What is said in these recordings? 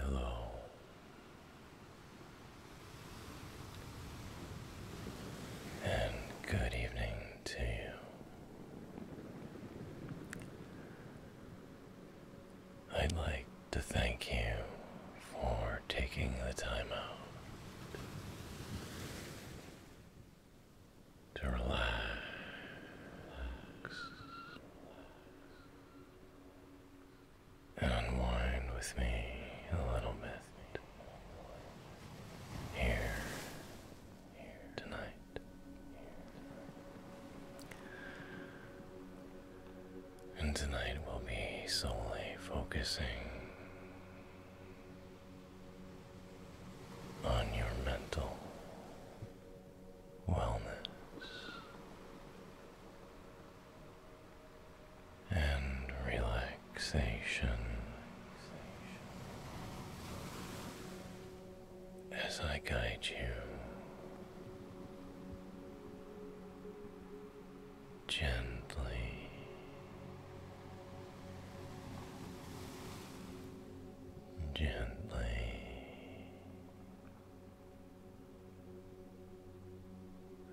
Hello. And good evening to you. I'd like to thank you for taking the time out to relax. And unwind with me a little bit here tonight. And tonight we'll be solely focusing on your mental wellness and relaxation as I guide you gently gently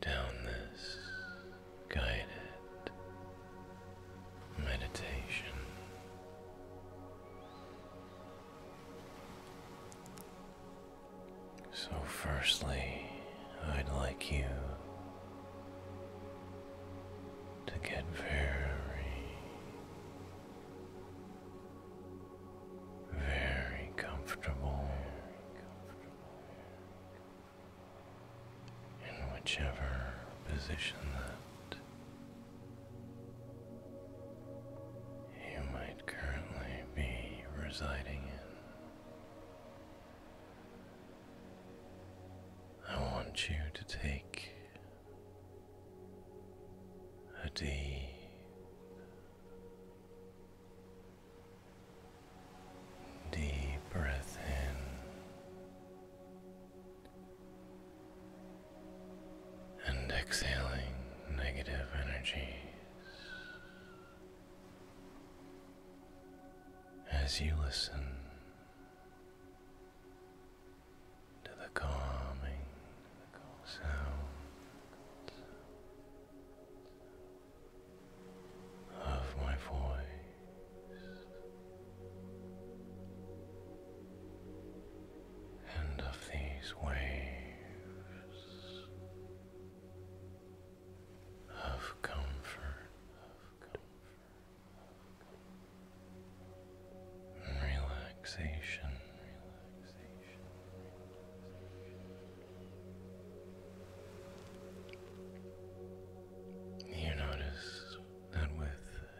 down this guided meditation so, firstly, I'd like you to get very, very comfortable in whichever position that you might currently be residing in. I want you to take a deep Deep breath in and exhaling negative energies. As you listen to the calming sound of my voice, and of these waves of comfort. Of comfort. And relaxation. You notice that with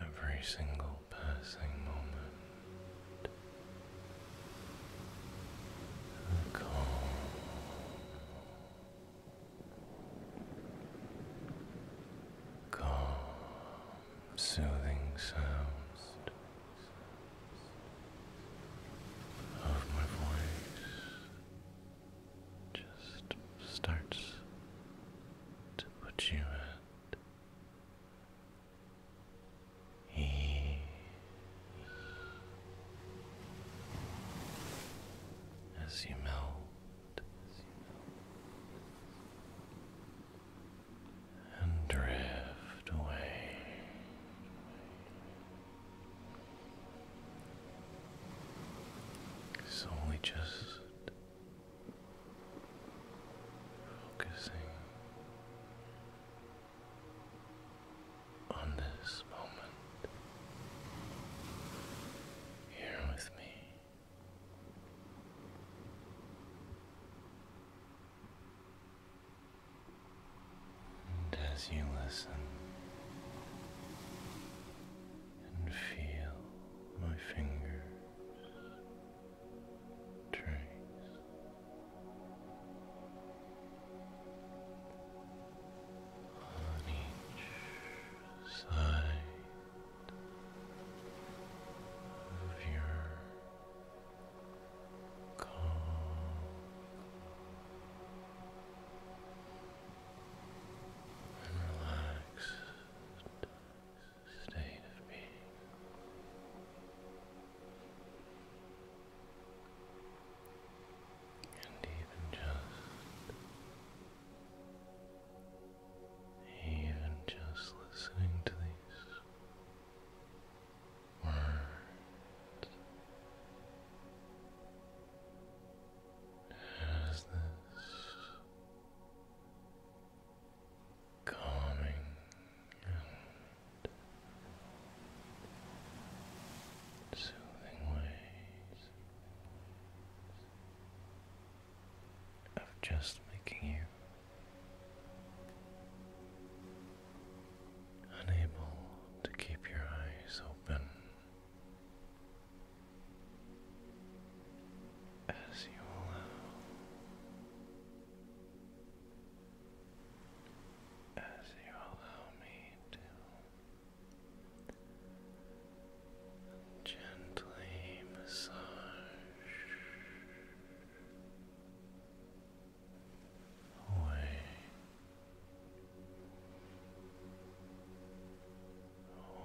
every single slow passing moment, calm. Calm, soothing sounds of my voice just starts to put you at as you melt and drift away, it's only just Focusing on this moment here with me. And as you listen and feel my fingers trees. On each side of your calm, and relaxed state of being. And even just, even just listening to these words has this calming and soothing ways of just making you unable to keep your eyes open as you allow as you allow me to gently massage. Away,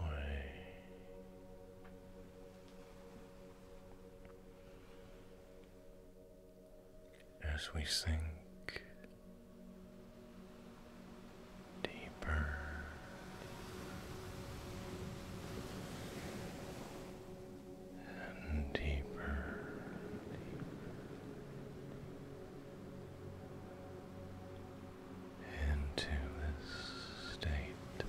away, as we sink deeper and deeper. Into this state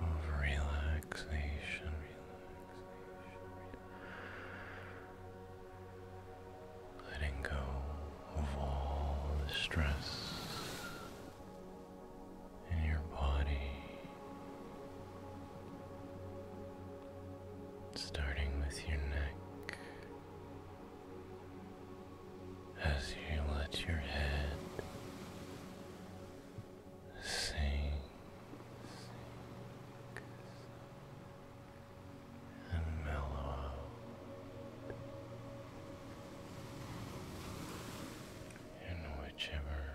of relaxation, relaxation, letting go of all the stress in your body, starting with your neck as you let your head sink, and mellow in whichever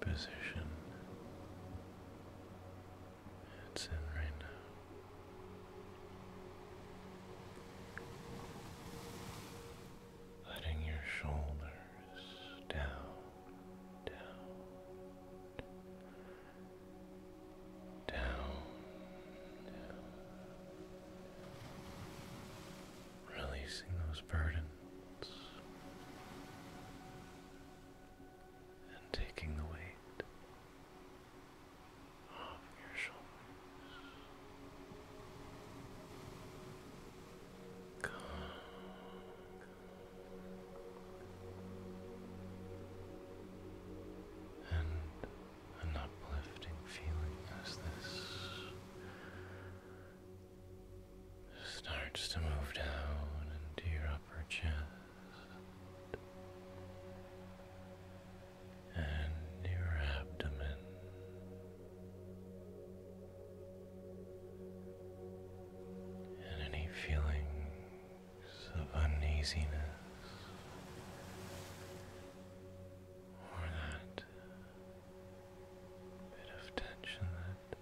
position it's in right now. Letting your shoulders down, down, down, releasing those burdens and taking the weight off And an uplifting feeling as this starts to move down into your upper chest and your abdomen. And any feelings of uneasiness or that bit of tension that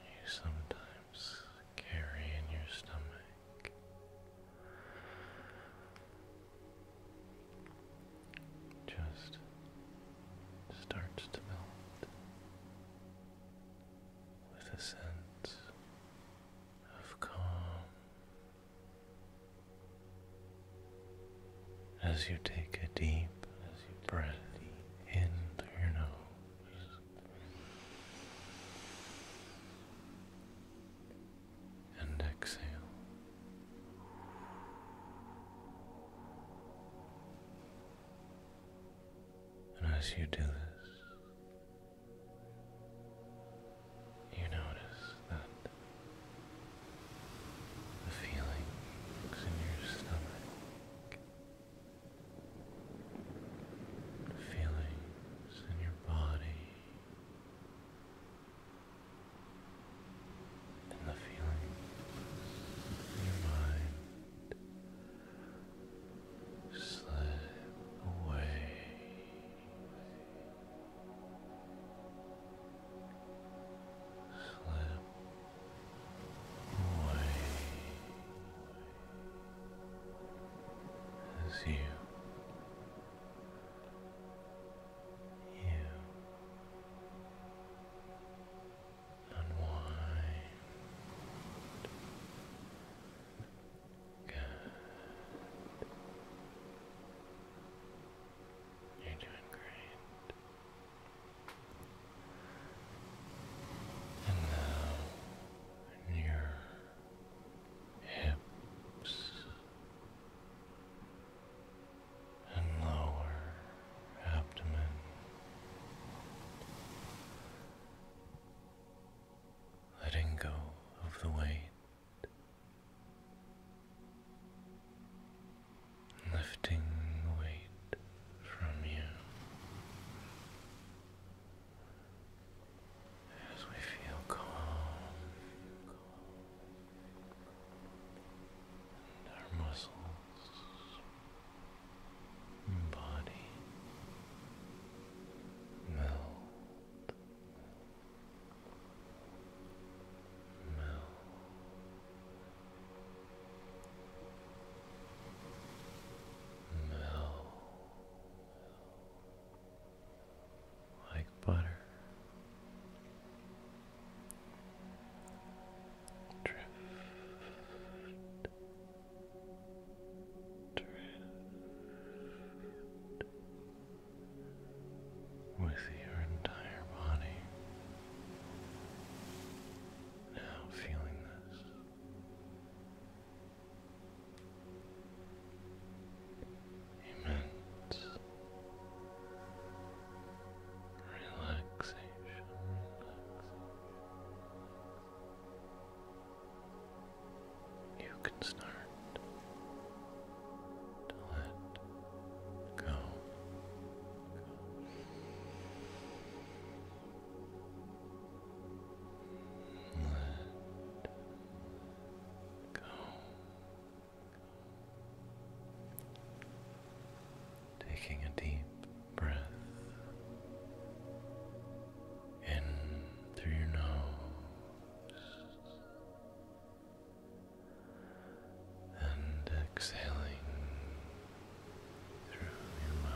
you sometimes carry in your stomach just starts to melt with a sense of calm as you take a deep breath deep. in your nose and exhale. And as you do this, you notice that the feelings in your stomach, the feelings in your body and the feeling in your mind slip away. Slip away as you. You unwind. Good. You're doing great. And now, in your hips and lower abdomen. Letting go of the weight, lifting weight from you, as we feel calm our muscles body melt. Melt, melt, like butter, drift, drift with your entire body. Now feeling this Amen. relaxation. You can start to let go. Let go. Taking a deep breath in through your nose and exhaling through your mouth.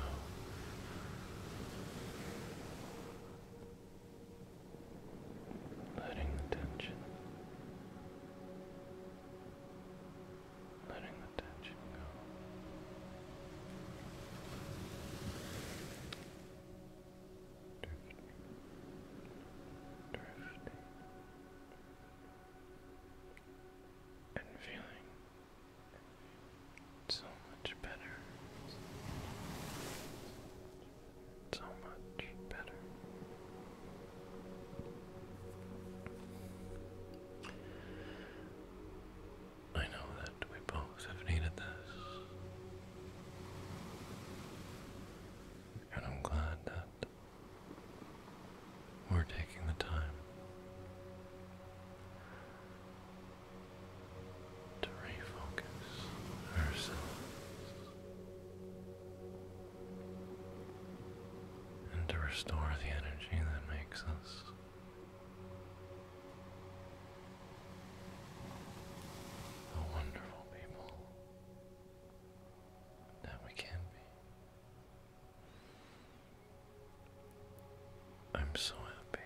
Letting the tension, letting the tension go. Drifting, drifting, and feeling, so much better. So much better. I know that we both have needed this. And I'm glad that we're taking the time to refocus ourselves and to restore the energy that makes us the wonderful people that we can be. I'm so happy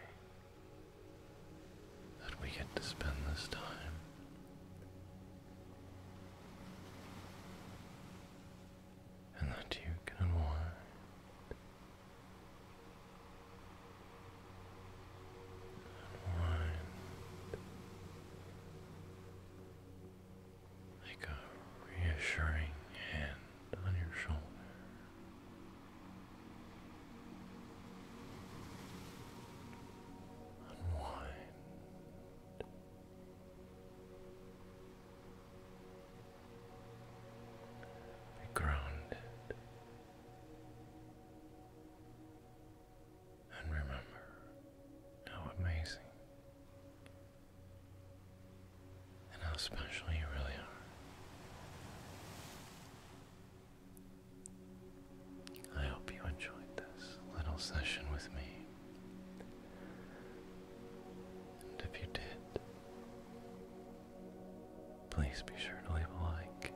that we get to spend this time. And that you can unwind. Unwind. Like a reassuring hand on your shoulder. Unwind. Be grounded. And remember how amazing and how special you really are. I hope you enjoyed this little session with me. And if you did, please be sure to leave a like.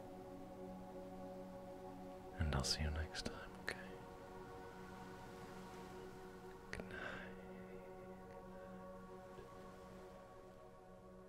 And I'll see you next time, okay? Good night.